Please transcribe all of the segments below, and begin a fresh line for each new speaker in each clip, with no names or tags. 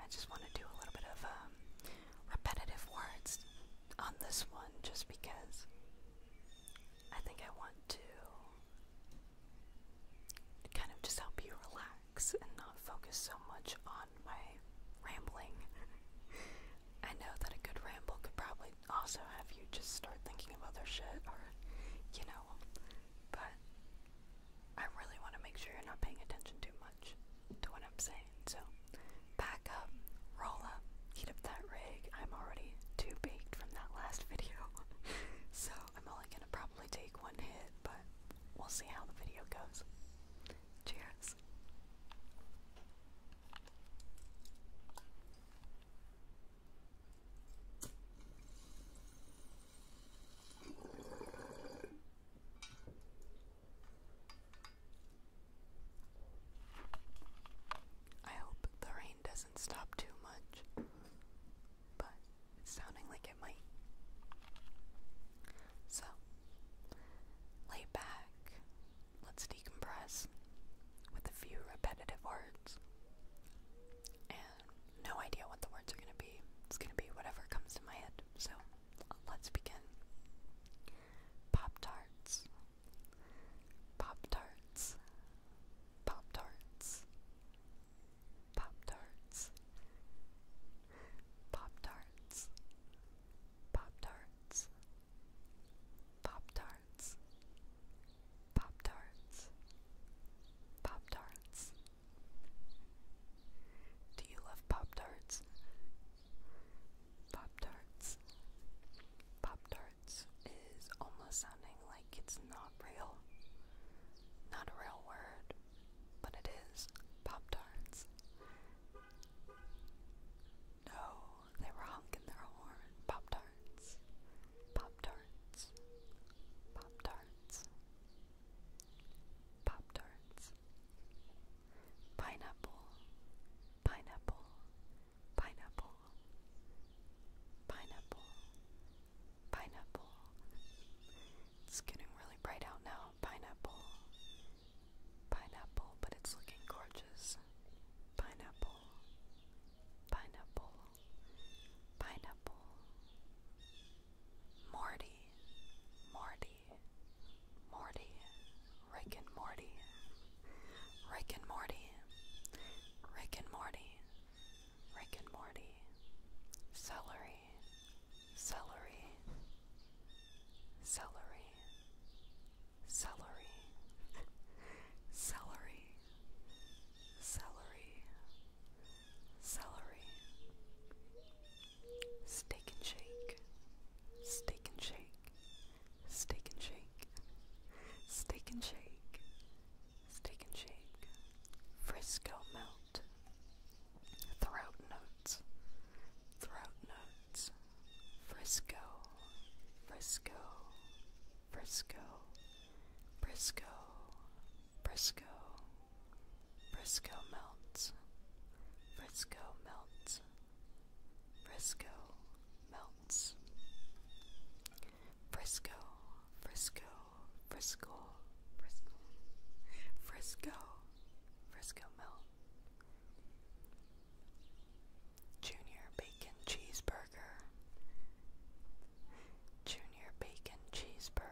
I just want to do a little bit of um, repetitive words on this one just because I think I want to kind of just help you relax and not focus so much on my rambling. I know that a good ramble could probably also have you just start thinking of other shit or, you know, but I really want to make sure you're not paying attention too much much to what I'm saying. So back up, roll up, heat up that rig. I'm already too baked from that last video. so I'm only gonna probably take one hit, but we'll see how the video goes. Cheers. I hope the rain doesn't stop too much, but sounding like it might. So, lay back, let's decompress with a few repetitive words. And no idea what the words are going to be. It's going to be whatever comes to my head food. So let's begin. Pop tarts. Pop tarts. Pop tarts. Pop tarts. Pop tarts. Pop tarts. Pop tarts. Pop tarts. Pop tarts. Do you love Pop Tarts? Pop Tarts. Pop Tarts is almost sounding like it's not real. Not a real word, but it is. Pop Tarts. No, they were honking their horn. Pop Tarts. Pop Tarts. Pop Tarts. Pop Tarts. Pineapple, pineapple, pineapple, pineapple, pineapple. It's getting really bright out now. Pineapple, pineapple, but it's looking gorgeous. Pineapple, pineapple, pineapple. Morty, Morty, Morty, Morty, Rick and Morty, Rick and Morty, Rick and Morty, Rick and Morty, celery, celery, celery, celery, celery, celery, celery, Steak and shake. Steak and shake. Steak and shake. Steak and shake. Steak and shake. Frisco melt. Throat notes. Throat notes. Frisco. Frisco. Frisco. Brisco. Brisco. Frisco melts. Frisco melts. Frisco melts. Frisco, Frisco, Frisco, Frisco, Frisco, Frisco melt. Junior bacon cheeseburger. Junior bacon cheeseburger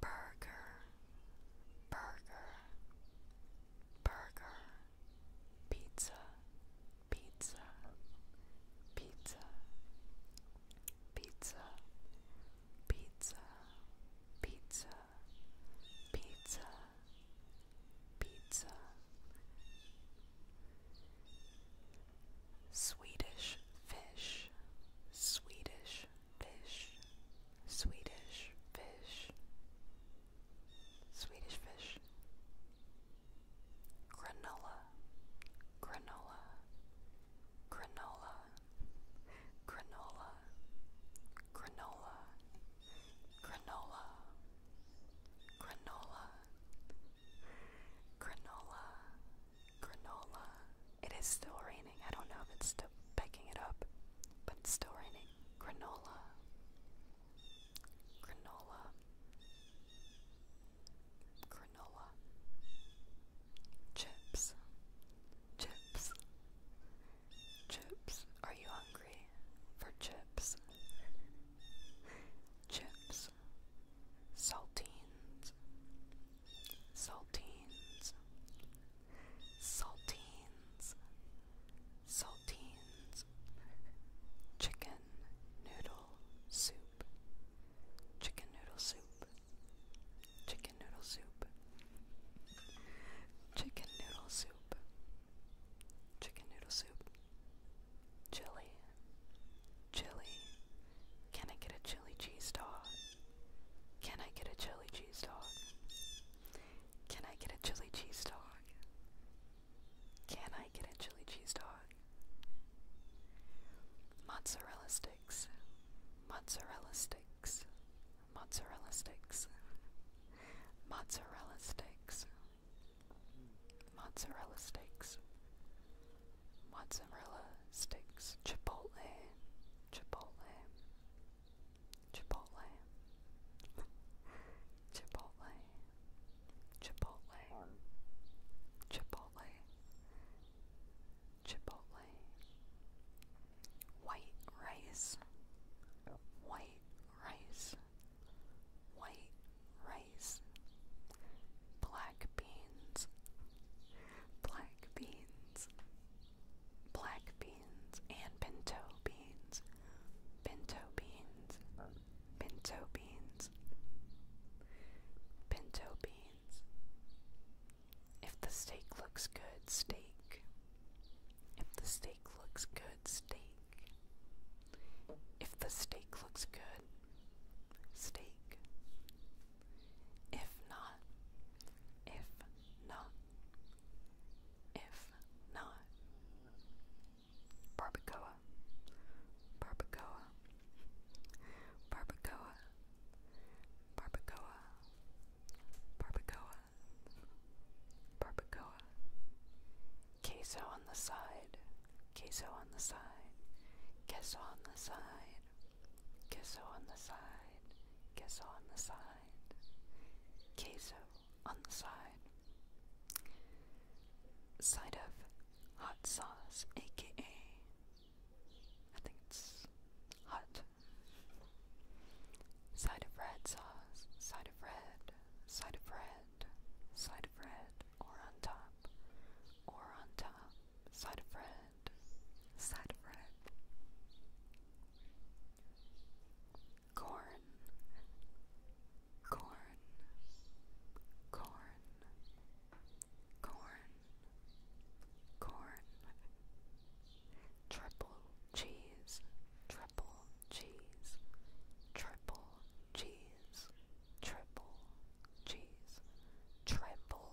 Burger, burger, burger, pizza, pizza, pizza, pizza, pizza, pizza, pizza, pizza. Swedish fish, Swedish fish, Swedish fish, Swedish fish, granola, granola, granola, granola, granola, granola, granola, granola. It is still raining. I don't know if it's still picking it up, but it's still raining. Granola. Granola. Granola. Chips. Chips. Chips. Are you hungry for chips? Chips. Saltines saltines, saltines, saltines, chicken noodle soup, chicken noodle soup, chicken noodle soup, chicken noodle soup, chicken noodle soup, chili, chili. Can I get a chili cheese dog? Can I get a chili cheese dog? Can I get a chili cheese dog? Can I get a chili cheese dog? Mozzarella sticks. Mozzarella sticks. Mozzarella sticks. Mozzarella sticks. Mozzarella sticks. Mozzarella sticks. Chipotle. Chipotle, Chipotle, Chipotle, Chipotle, Chipotle, Chipotle, white rice, white rice, white rice, black beans, black beans black beans, and pinto beans. Pinto beans. Pinto beans. Pinto beans. If the steak looks good, steak. If the steak looks good, steak. If the steak looks good, steak. If not, if not, if not, barbacoa, barbacoa, barbacoa, barbacoa, barbacoa, barbacoa, queso on the side, queso on the side, queso on the side, queso on the side, queso on the side, queso on the side. Side of hot sauce, aka I think it's hot. Side of red sauce, side of red, side of red, side of red, or on top, or on top, Side friend. Side friend. Corn. Corn. Corn. Corn. Corn. Triple cheese. Triple cheese. Triple cheese. Triple cheese. Triple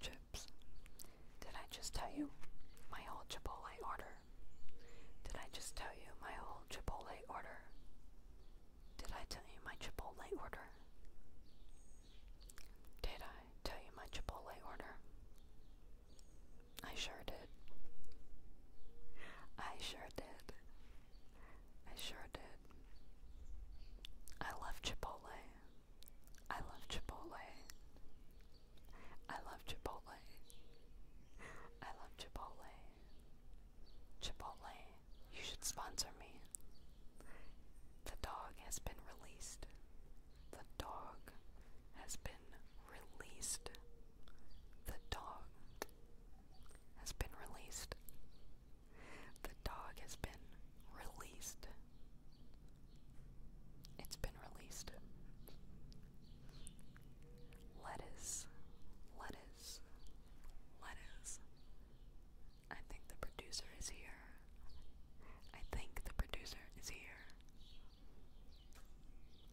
chips. Did I just tell you my whole Chipotle order? Did I just tell you my whole Chipotle order? Did I tell you my Chipotle order? Did I tell you my Chipotle order? I sure did. I sure did. I sure did. I love Chipotle. I love Chipotle. I love Chipotle. I love Chipotle. Chipotle, you should sponsor me. The dog has been released. The dog has been released. The dog has been released. The dog has been released. It's been released. Lettuce, lettuce, lettuce. I think the producer is here. I think the producer is here.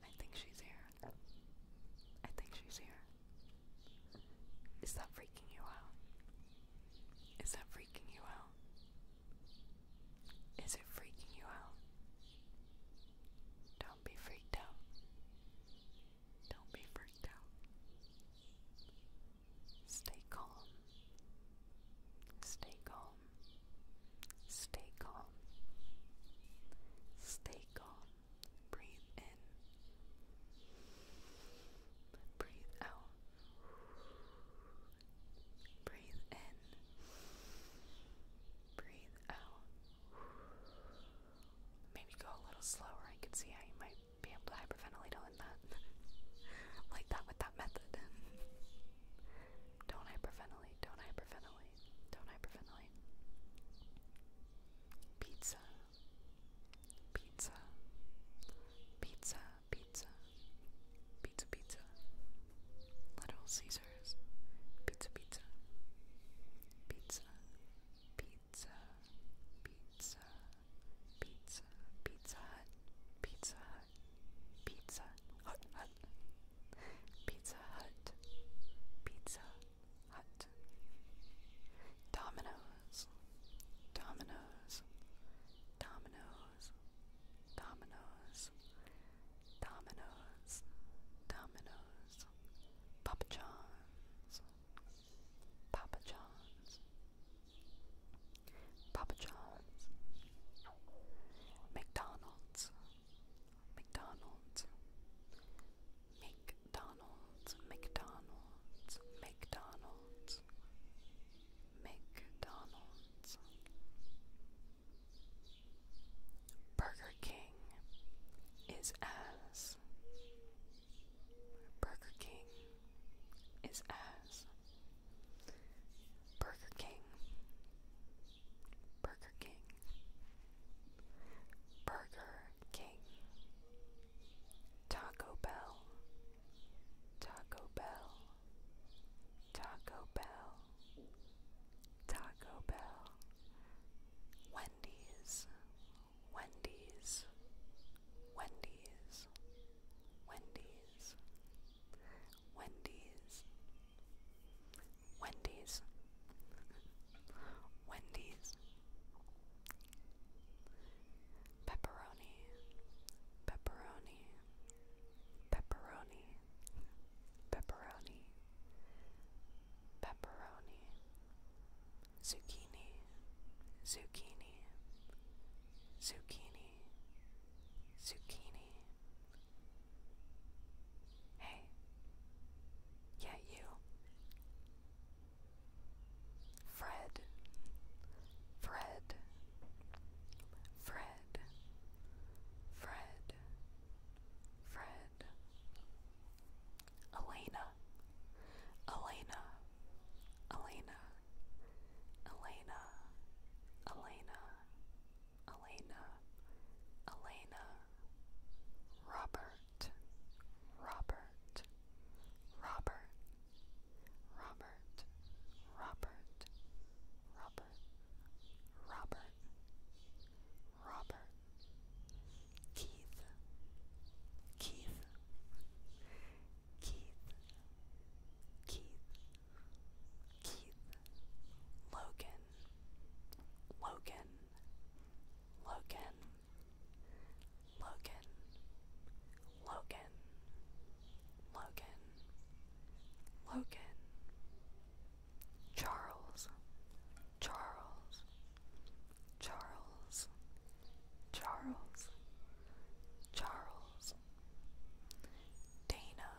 I think she's here. I think she's here. Is that freaking you out? Is that freaking you out? Is it freaking you out? Don't be freaked out. Don't be freaked out. Stay calm. Stay calm. Stay calm. Stay calm. Breathe in. Breathe out. Breathe in. Breathe out. Maybe go a little slower. I can see how you might be able to hyperventilate on that. like that with that method. don't hyperventilate. Don't hyperventilate. Don't hyperventilate. Pizza. Pizza. Pizza pizza, pizza, pizza, Little Caesars, pizza, pizza, pizza, pizza, pizza, pizza, pizza hut, pizza hut, pizza hut, hut, pizza hut, pizza hut, Dominoes, Dominoes, Dominoes dominoes, dominoes, dominoes, Papa John's, Papa John's, Papa John's, McDonald's, McDonald's, McDonald's, McDonald's, McDonald's, McDonald's, Burger King is as, Burger King is as, Burger King, Burger King, Burger King, Taco Bell, Taco Bell. Taco Bell, Taco Bell, Wendy's, Wendy's, Wendy's, Wendy's, Wendy's, Wendy's, Pepperoni pepperoni, pepperoni, pepperoni, pepperoni, zucchini, zucchini, zucchini, zucchini. Hey, yeah, you. Fred, Fred, Fred, Fred, Fred, Elena, Elena, Elena, Elena, Elena, Elena, Elena, Robert, Robert, Robert, Robert. Robert, Robert, Robert, Robert, Keith, Keith, Keith, Keith, Keith, Logan, Logan, Logan, Logan, Logan, Logan, Logan, Charles, Charles, Charles, Charles, Charles, Dana,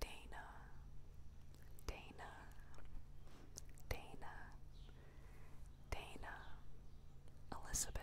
Dana, Dana, Dana, Dana, Elizabeth.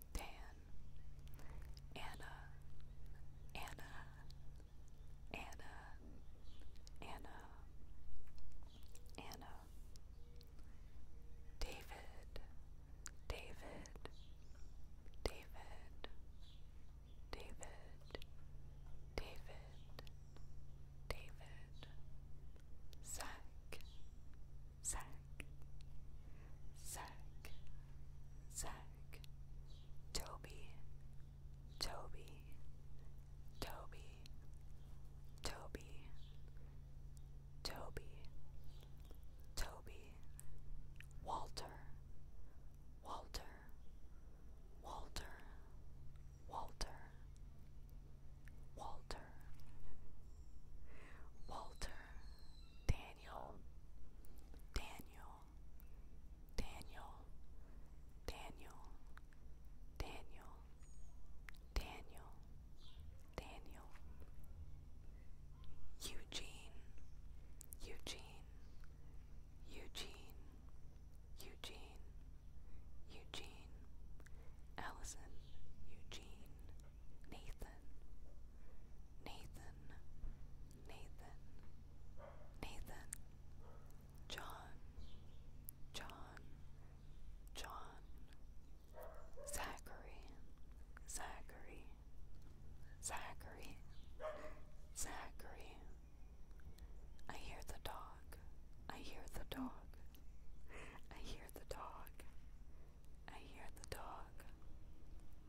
Dan, Anna, Anna, Anna, Anna, Anna, David, David, David, David, David, David, Zach, Zach, Zach, Zach. Toby, Toby, Toby, Toby, Toby, Toby, Walter, Walter, Walter, Walter, Walter, Walter, Daniel, Daniel, Daniel, Daniel, Daniel, Daniel, Daniel, Eugene, Eugene, Eugene, Eugene, Eugene, Allison, Eugene, Nathan, Nathan. Nathan, Nathan, John, John, John, Zachary, Zachary, Zachary, Zachary. I hear the dog, I hear the dog, I hear the dog, I hear the dog.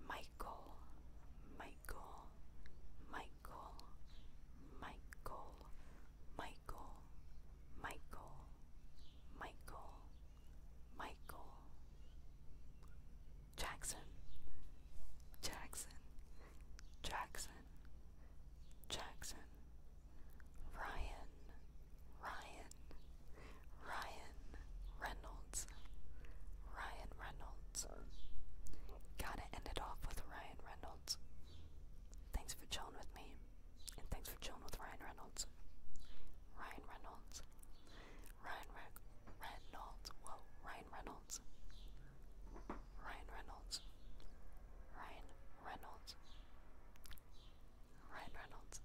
Michael, Michael. Michael, Michael, Michael, Michael, Michael, Michael, Michael, Jackson, Jackson, Jackson, Jackson, Ryan, Ryan, Ryan. Reynolds. Ryan Reynolds. Gotta end it off with Ryan Reynolds. Thanks for chilling with me, and thanks for chilling with Ryan Reynolds. Ryan Reynolds. Ryan Reynolds. Whoa, Ryan Reynolds. Ryan Reynolds. Ryan Reynolds. Ryan Reynolds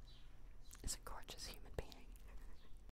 is a gorgeous human being.